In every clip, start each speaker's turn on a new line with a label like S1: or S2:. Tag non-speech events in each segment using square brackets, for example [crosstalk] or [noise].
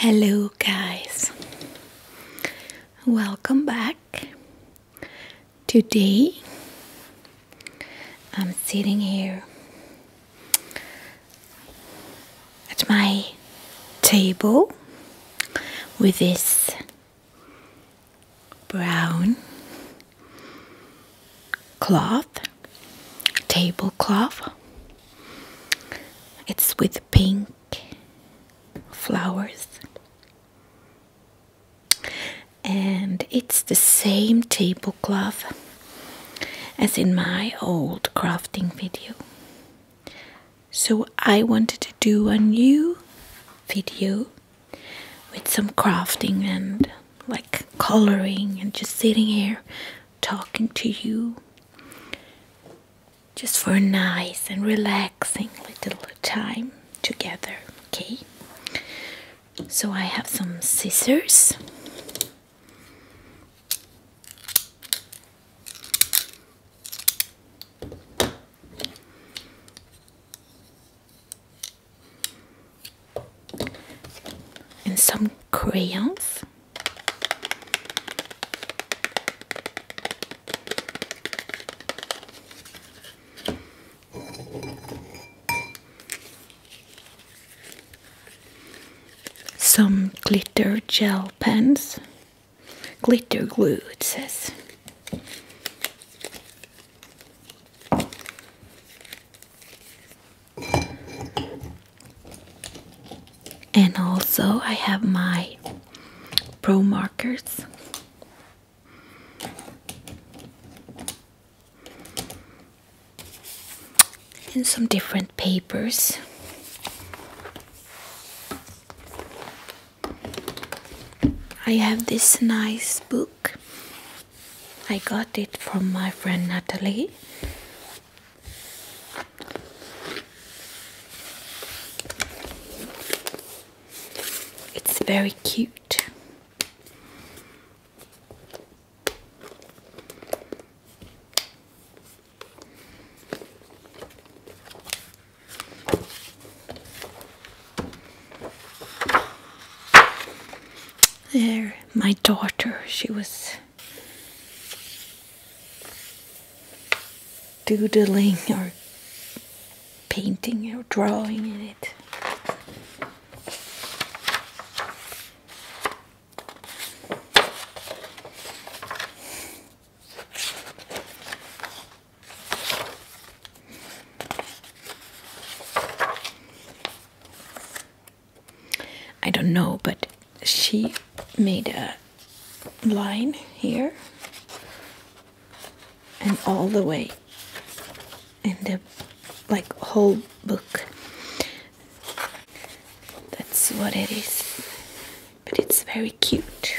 S1: Hello, guys. Welcome back. Today, I'm sitting here at my table with this brown cloth, tablecloth. It's with pink flowers. And it's the same tablecloth as in my old crafting video. So I wanted to do a new video with some crafting and like coloring and just sitting here talking to you just for a nice and relaxing little time together okay so i have some scissors and some crayons some glitter gel pens glitter glue it says and also I have my pro markers. And some different papers. I have this nice book I got it from my friend Natalie. It's very cute. There, my daughter, she was doodling or painting or drawing in it. I don't know, but she made a line here and all the way in the like whole book. That's what it is. But it's very cute.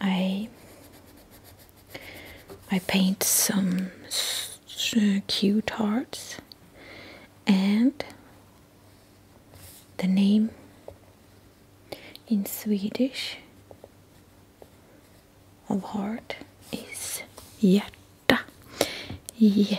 S1: I I paint some cute hearts and the name in Swedish of heart is hjärta. J H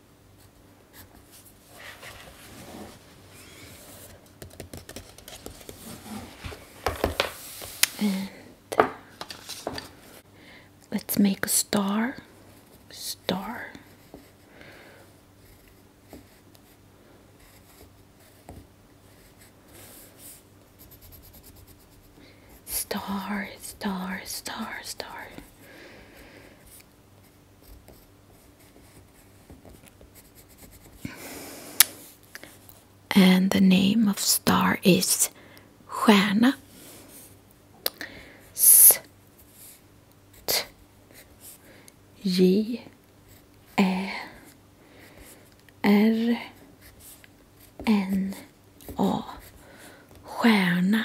S1: let's make a star, star. Star, star, star, star and the name of star is stjärna S T J Ä R N A stjärna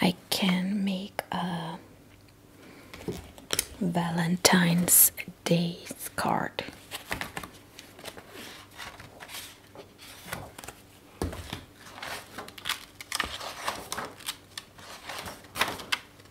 S1: I can make a Valentine's Day card.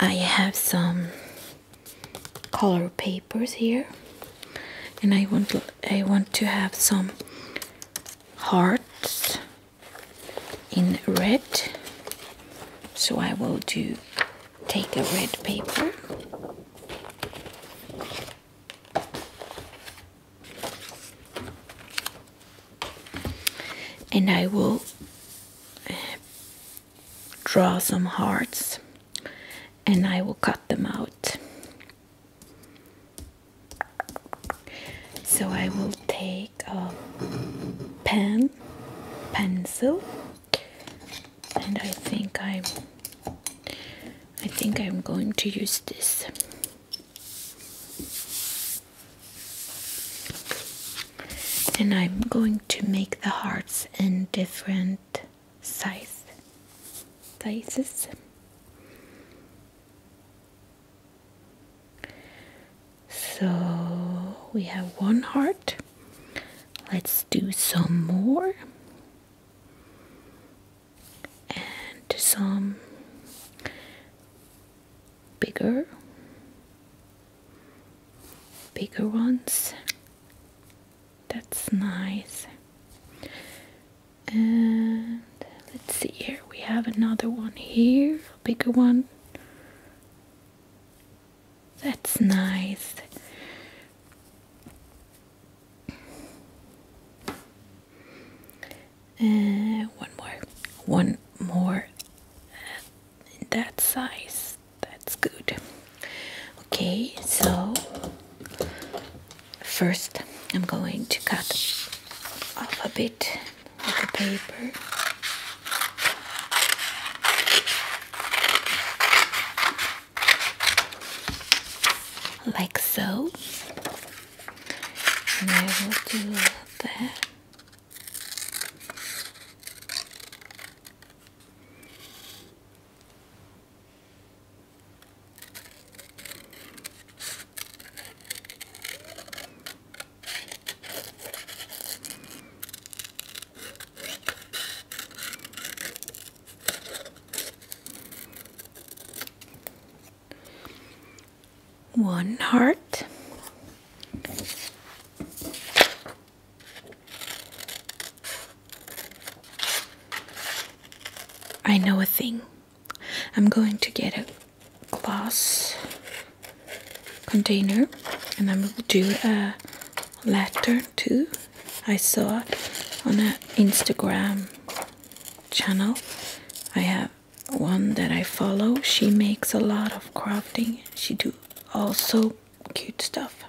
S1: I have some color papers here and I want I want to have some hearts in red so I will do take a red paper and I will uh, draw some hearts and I will cut them out. So I will take a pen, pencil, and I think I'm I think I'm going to use this and I'm going to make the hearts in different size sizes so we have one heart. Let's do some more. And some bigger bigger ones. That's nice. And let's see here. We have another one here, bigger one. That's nice. Uh, one more, one more uh, that size. That's good. Okay, so first I'm going to cut off a bit of the paper like so and I will do that one heart. I know a thing. I'm going to get a glass container and I will do a letter too. I saw on an Instagram channel. I have one that I follow. She makes a lot of crafting. She do also cute stuff.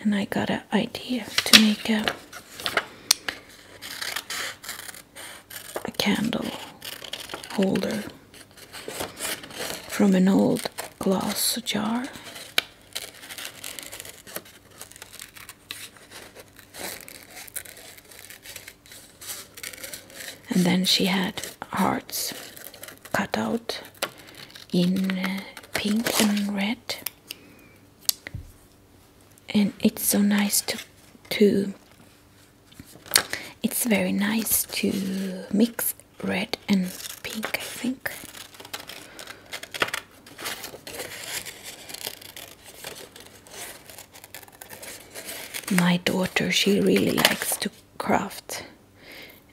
S1: And I got an idea to make a a candle holder from an old glass jar. And then she had hearts cut out in uh, pink and red. And it's so nice to to it's very nice to mix red and pink, I think. My daughter, she really likes to craft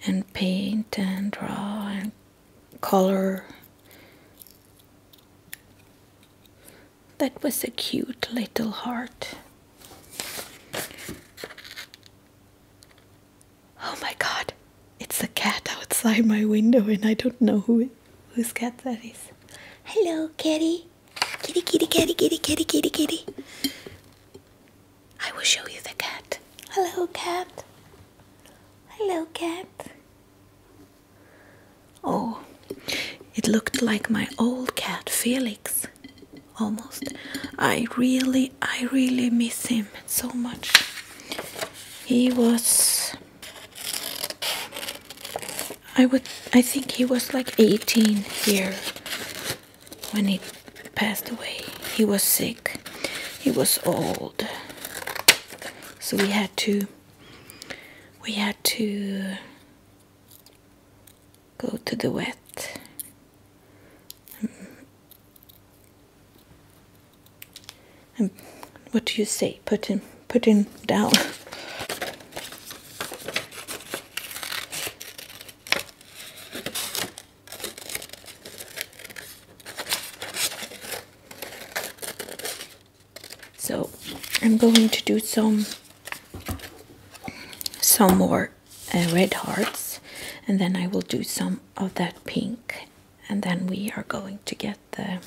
S1: and paint and draw and color. That was a cute little heart. Oh my god, it's a cat outside my window, and I don't know who it, whose cat that is. Hello, kitty. Kitty, kitty, kitty, kitty, kitty, kitty, kitty. I will show you the cat. Hello, cat. Hello, cat. Oh, it looked like my old cat, Felix almost. I really, I really miss him so much. He was. I would. I think he was like 18 here when he passed away. He was sick. He was old. So we had to. We had to go to the wet and um, um, what do you say put him put him down so I'm going to do some some more uh, red hearts and then I will do some of that pink and then we are going to get the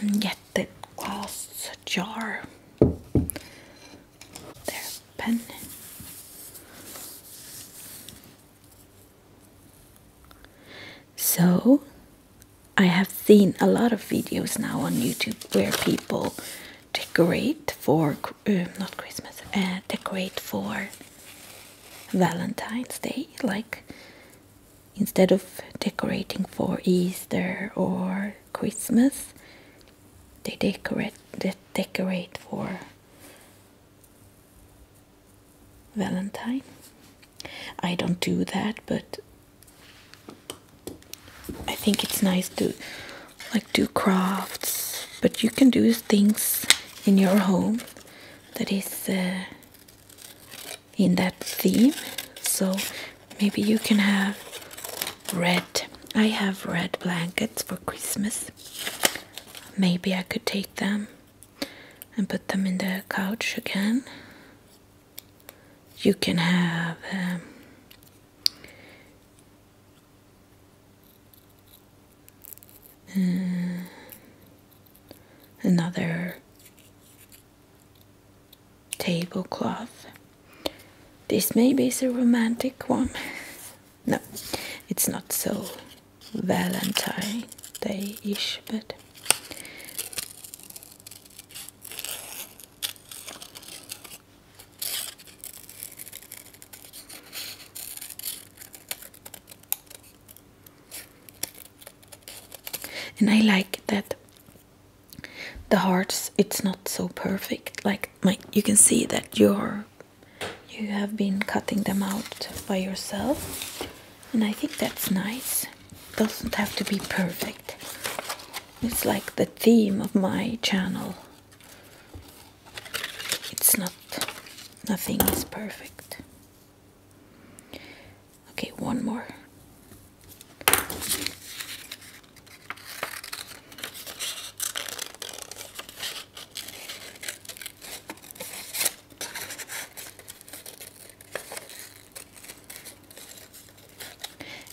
S1: and get the glass jar there pen so I have seen a lot of videos now on YouTube where people decorate for um, not Christmas, uh, decorate for Valentine's Day, like instead of decorating for Easter or Christmas, they decorate they decorate for Valentine. I don't do that, but I think it's nice to like do crafts, but you can do things in your home that is uh, in that theme. So maybe you can have red. I have red blankets for Christmas. Maybe I could take them and put them in the couch again. You can have them. Um, uh, another tablecloth. This maybe is a romantic one. [laughs] no, it's not so Valentine Day ish, but. And I like that the hearts it's not so perfect like you can see that you're you have been cutting them out by yourself and I think that's nice doesn't have to be perfect it's like the theme of my channel. It's not, nothing is perfect. Okay, one more.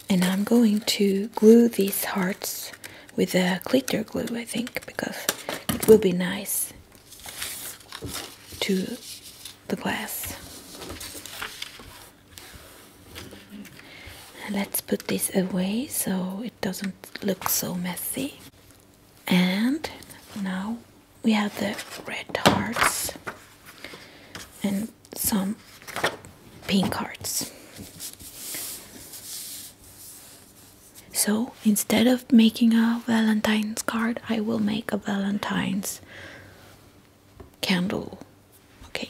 S1: And I'm going to glue these hearts with a glitter glue, I think, because it will be nice to the glass. let's put this away so it doesn't look so messy. And now we have the red hearts. And some pink cards. So instead of making a Valentine's card, I will make a Valentine's candle. Okay.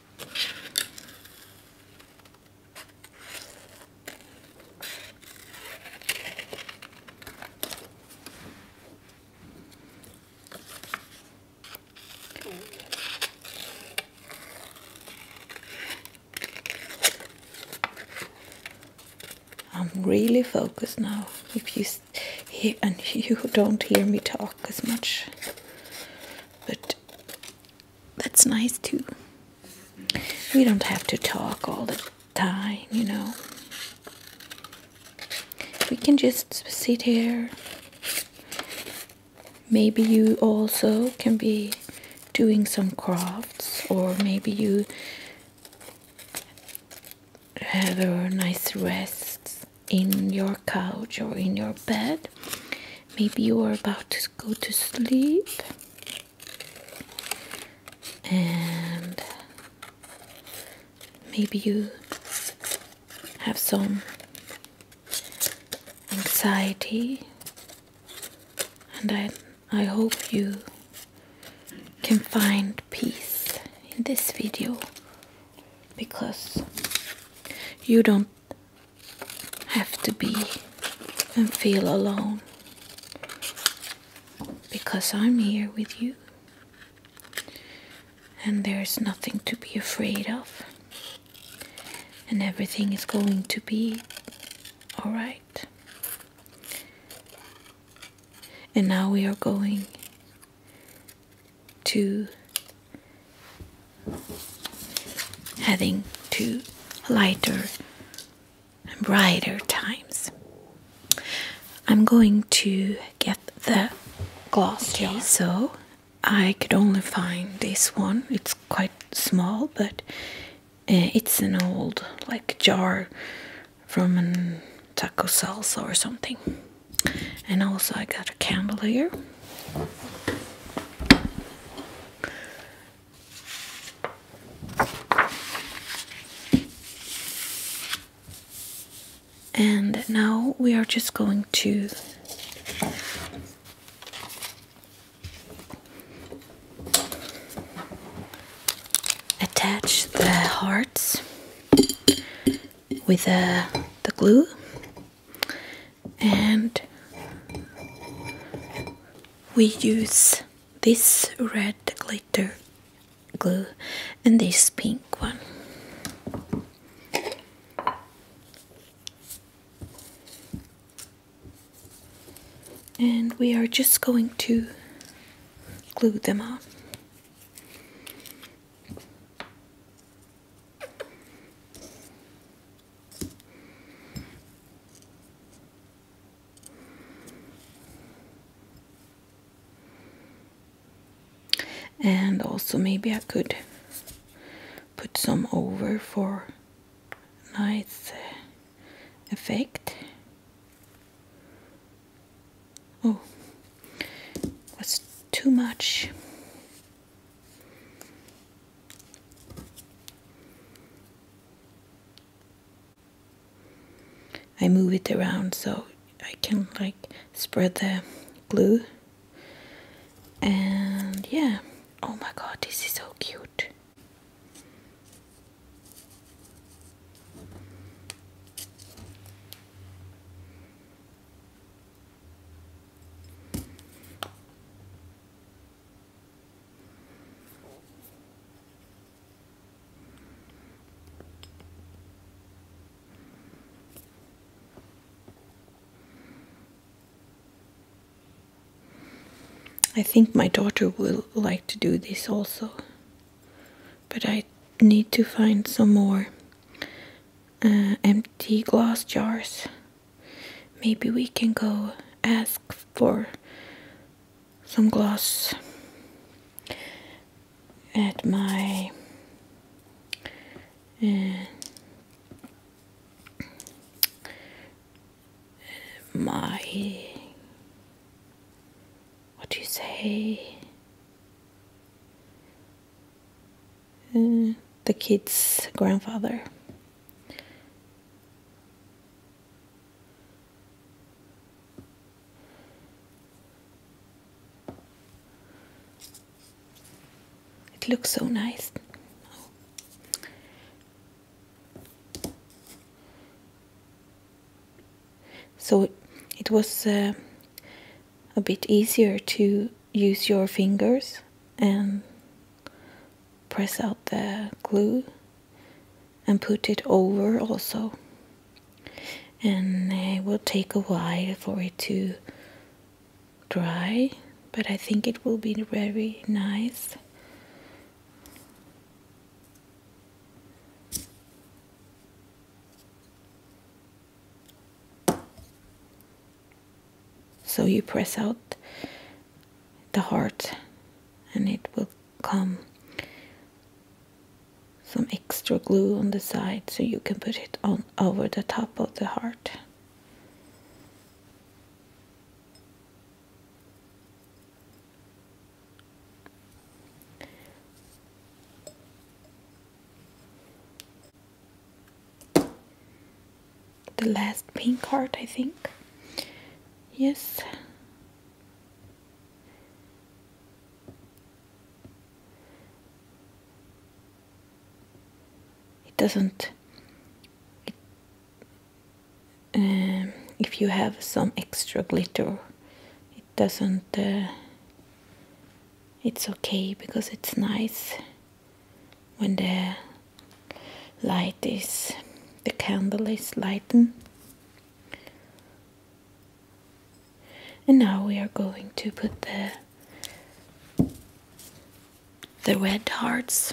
S1: I'm really focused now. If you and [laughs] you don't hear me talk as much, but that's nice too. We don't have to talk all the time, you know. We can just sit here. Maybe you also can be doing some crafts, or maybe you have a nice rest in your couch or in your bed. Maybe you are about to go to sleep and maybe you have some anxiety and I, I hope you can find peace in this video because you don't have to be and feel alone because I'm here with you and there's nothing to be afraid of and everything is going to be all right and now we are going to heading to lighter and brighter times. I'm going to get the glass So I could only find this one. It's quite small, but uh, it's an old like jar from a taco salsa or something. And also I got a candle here. And now we are just going to attach the hearts with uh, the glue and we use this red glitter glue and this pink one and we are just going to glue them on and also maybe I could put some over for nice uh, effect oh was too much I move it around so I can like spread the glue and yeah oh my god this is so cute I think my daughter will like to do this also, but I need to find some more uh, empty glass jars. Maybe we can go ask for some gloss at my uh, my what do you say the kid's grandfather. It looks so nice. So it was uh, a bit easier to use your fingers and press out the glue and put it over also and it will take a while for it to dry but I think it will be very nice so you press out the heart and it will come some extra glue on the side so you can put it on over the top of the heart the last pink heart, I think. Yes. It doesn't. Um, if you have some extra glitter, it doesn't. Uh, it's okay because it's nice when the light is the candle is lightened and now we are going to put the the red hearts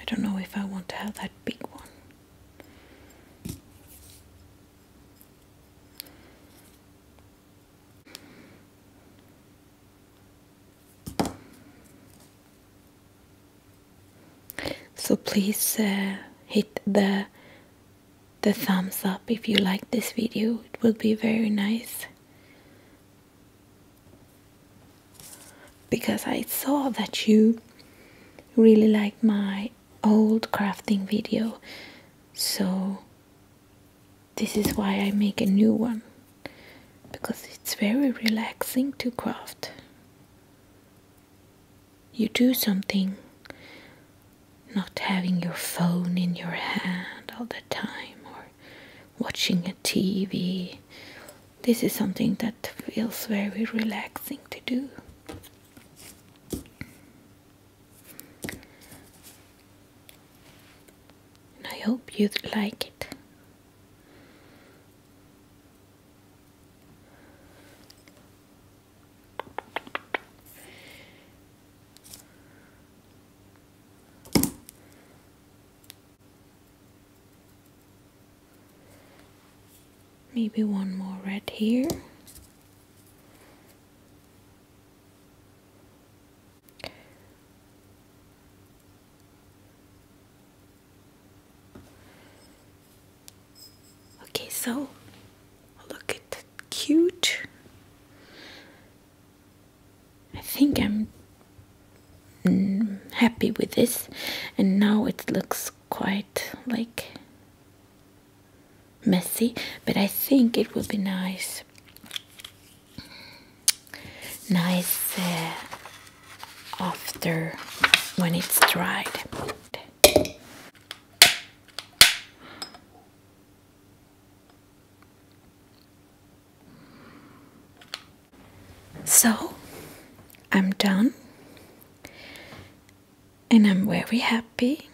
S1: I don't know if I want to have that big one. So please uh, hit the the thumbs up if you like this video. It will be very nice because I saw that you really like my old crafting video so this is why I make a new one because it's very relaxing to craft you do something not having your phone in your hand all the time or watching a TV. This is something that feels very relaxing to do. I hope you like it. Maybe one more red here. Okay, so look at cute I think I'm happy with this and now it looks quite like messy but I think it will be nice nice uh, after when it's dried so I'm done and I'm very happy.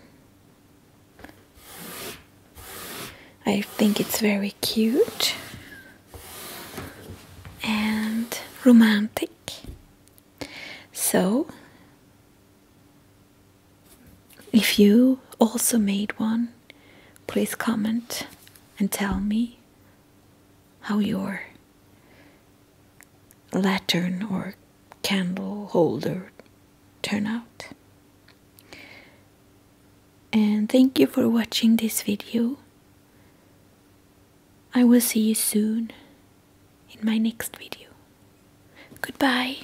S1: I think it's very cute and romantic. So if you also made one, please comment and tell me how your lantern or candle holder turn out and thank you for watching this video i will see you soon in my next video goodbye